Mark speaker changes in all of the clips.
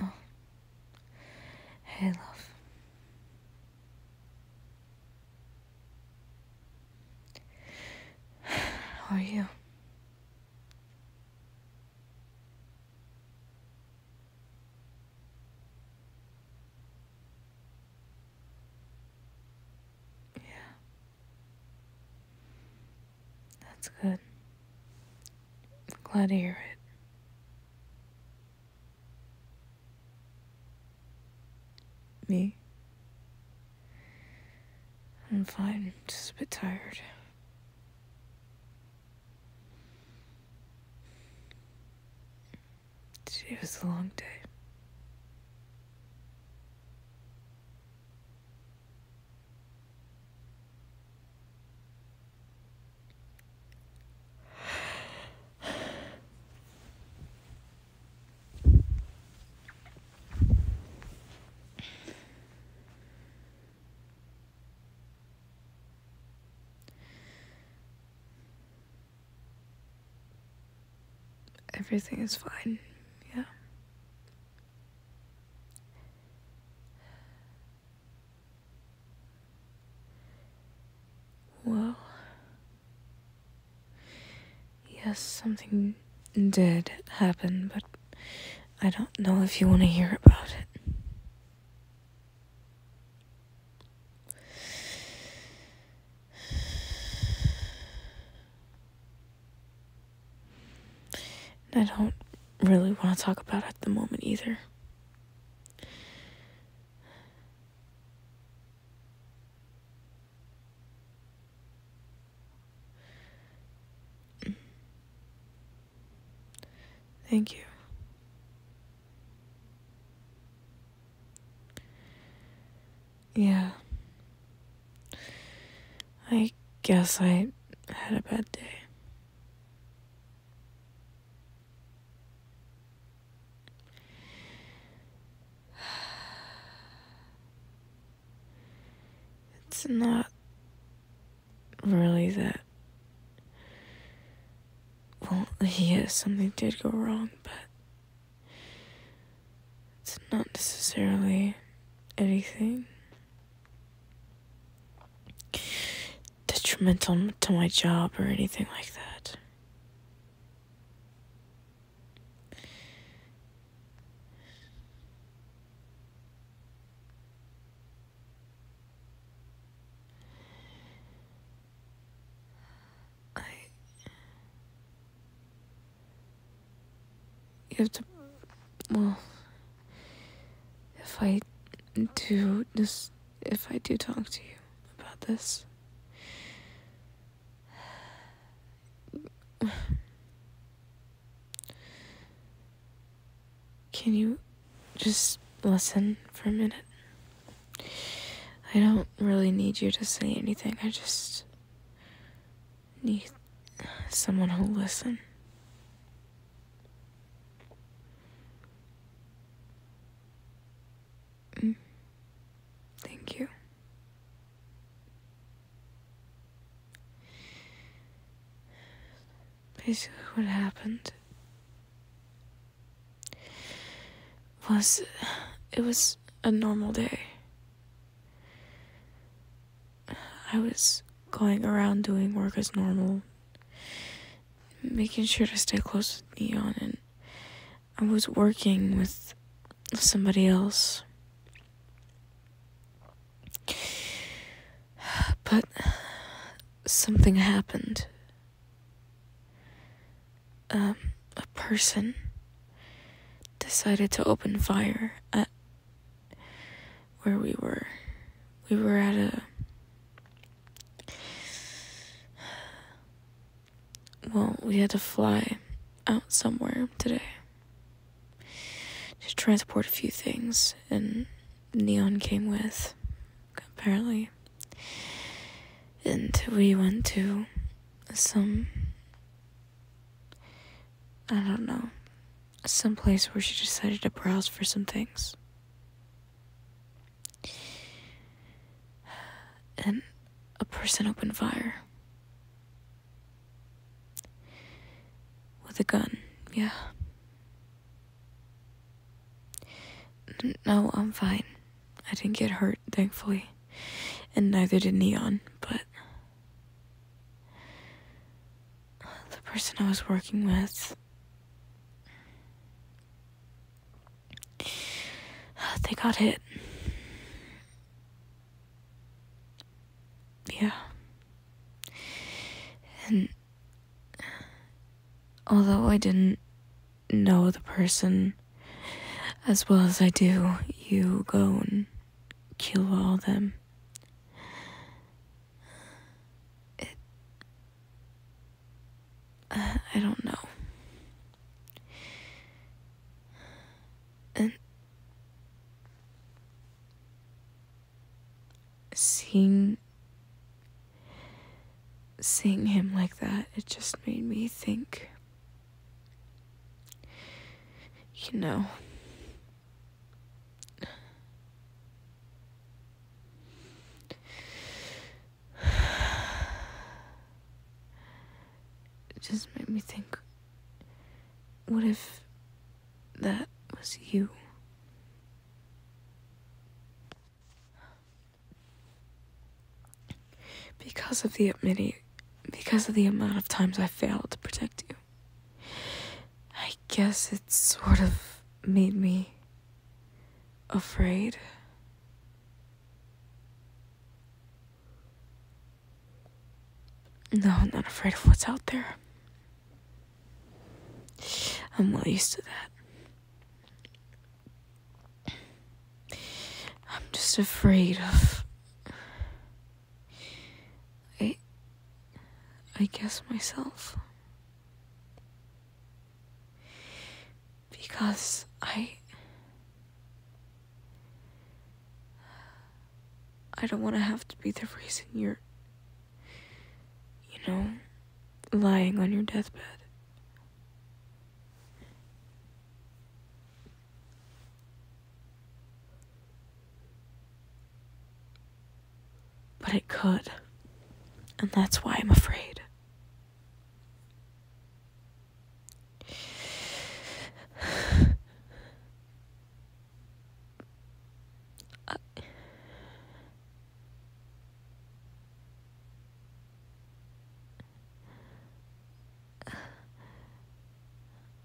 Speaker 1: Oh. Hey, love. How are you? Yeah. That's good. glad to hear it. Me? I'm fine, just a bit tired. It was a long day. Everything is fine. Yeah. Well, Yes, something did happen, but I don't know if you want to hear about it. I don't really want to talk about it at the moment either. Thank you. Yeah. I guess I had a bad day. It's not really that. Well, yes, something did go wrong, but it's not necessarily anything detrimental to my job or anything like that. I you have to well if I do this if I do talk to you about this can you just listen for a minute? I don't really need you to say anything. I just need someone who listens. Mm. Thank you. Basically, what happened was it was a normal day. I was going around doing work as normal, making sure to stay close with Neon, and I was working with somebody else. But something happened. Um, a person decided to open fire at where we were. We were at a. Well, we had to fly out somewhere today to transport a few things, and Neon came with, apparently. And we went to some. I don't know. Some place where she decided to browse for some things. And a person opened fire. With a gun, yeah. No, I'm fine. I didn't get hurt, thankfully. And neither did Neon, but. The person I was working with. They got hit. Yeah. And although I didn't know the person as well as I do, you go and kill all them. Uh, I don't know and seeing seeing him like that it just made me think you know it just made me think what if that was you? Because of the many, because of the amount of times I failed to protect you, I guess it sort of made me afraid. No, I'm not afraid of what's out there. I'm well used to that. I'm just afraid of. I. I guess myself. Because I. I don't want to have to be the reason you're, you know, lying on your deathbed. But it could, and that's why I'm afraid.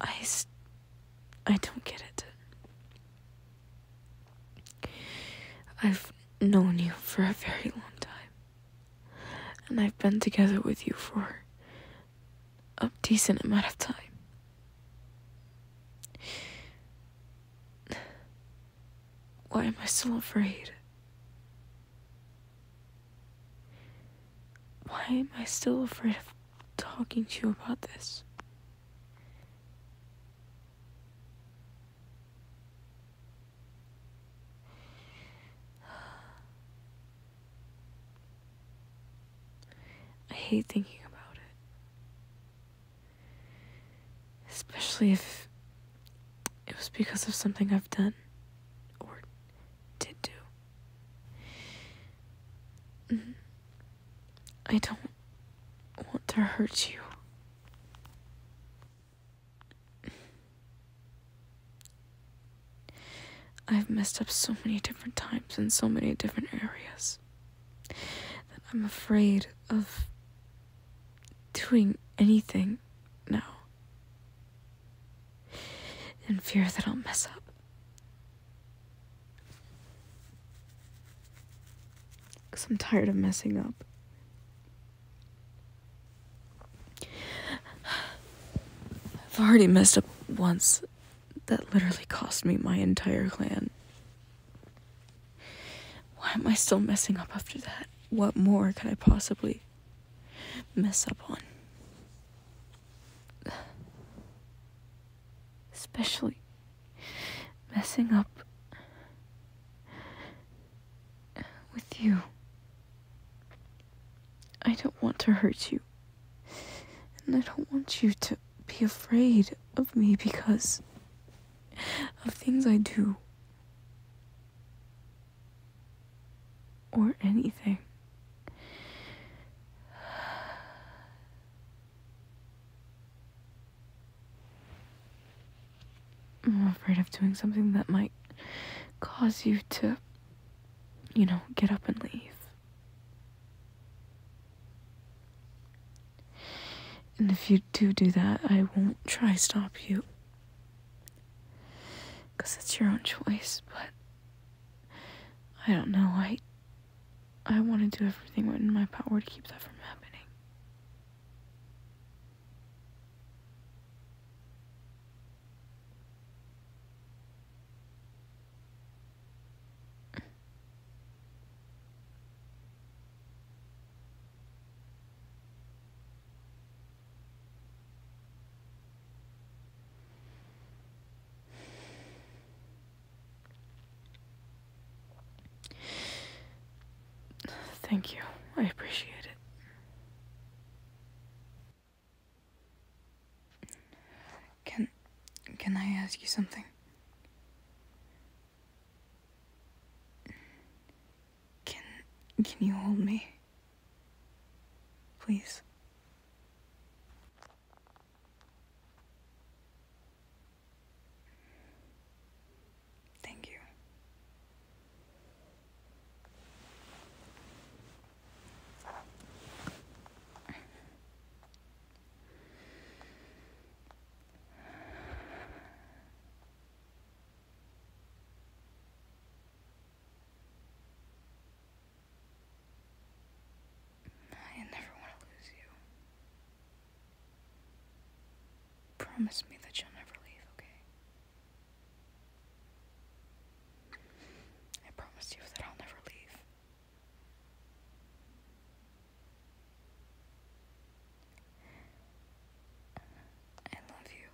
Speaker 1: I I, don't get it. I've known you for a very long time, and I've been together with you for a decent amount of time. Why am I still afraid? Why am I still afraid of talking to you about this? I hate thinking about it. Especially if it was because of something I've done or did do. Mm-hmm. I don't want to hurt you. I've messed up so many different times in so many different areas that I'm afraid of doing anything now. In fear that I'll mess up. Because I'm tired of messing up. I've already messed up once that literally cost me my entire clan. Why am I still messing up after that? What more can I possibly mess up on? Especially messing up with you. I don't want to hurt you. And I don't want you to be afraid of me because of things I do. Or anything. I'm afraid of doing something that might cause you to, you know, get up and leave. And if you do do that, I won't try stop you. Because it's your own choice, but I don't know. I I want to do everything within my power to keep that from happening. Thank you. I appreciate it. Can can I ask you something? Can can you hold me? Please. Thank you. I never want to lose you. Promise me that you'll never leave, okay? I promise you that I'll never leave. I love you.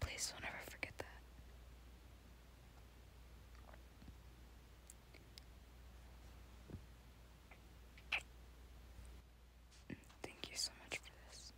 Speaker 1: Please don't ever forget that. Thank you so much for this.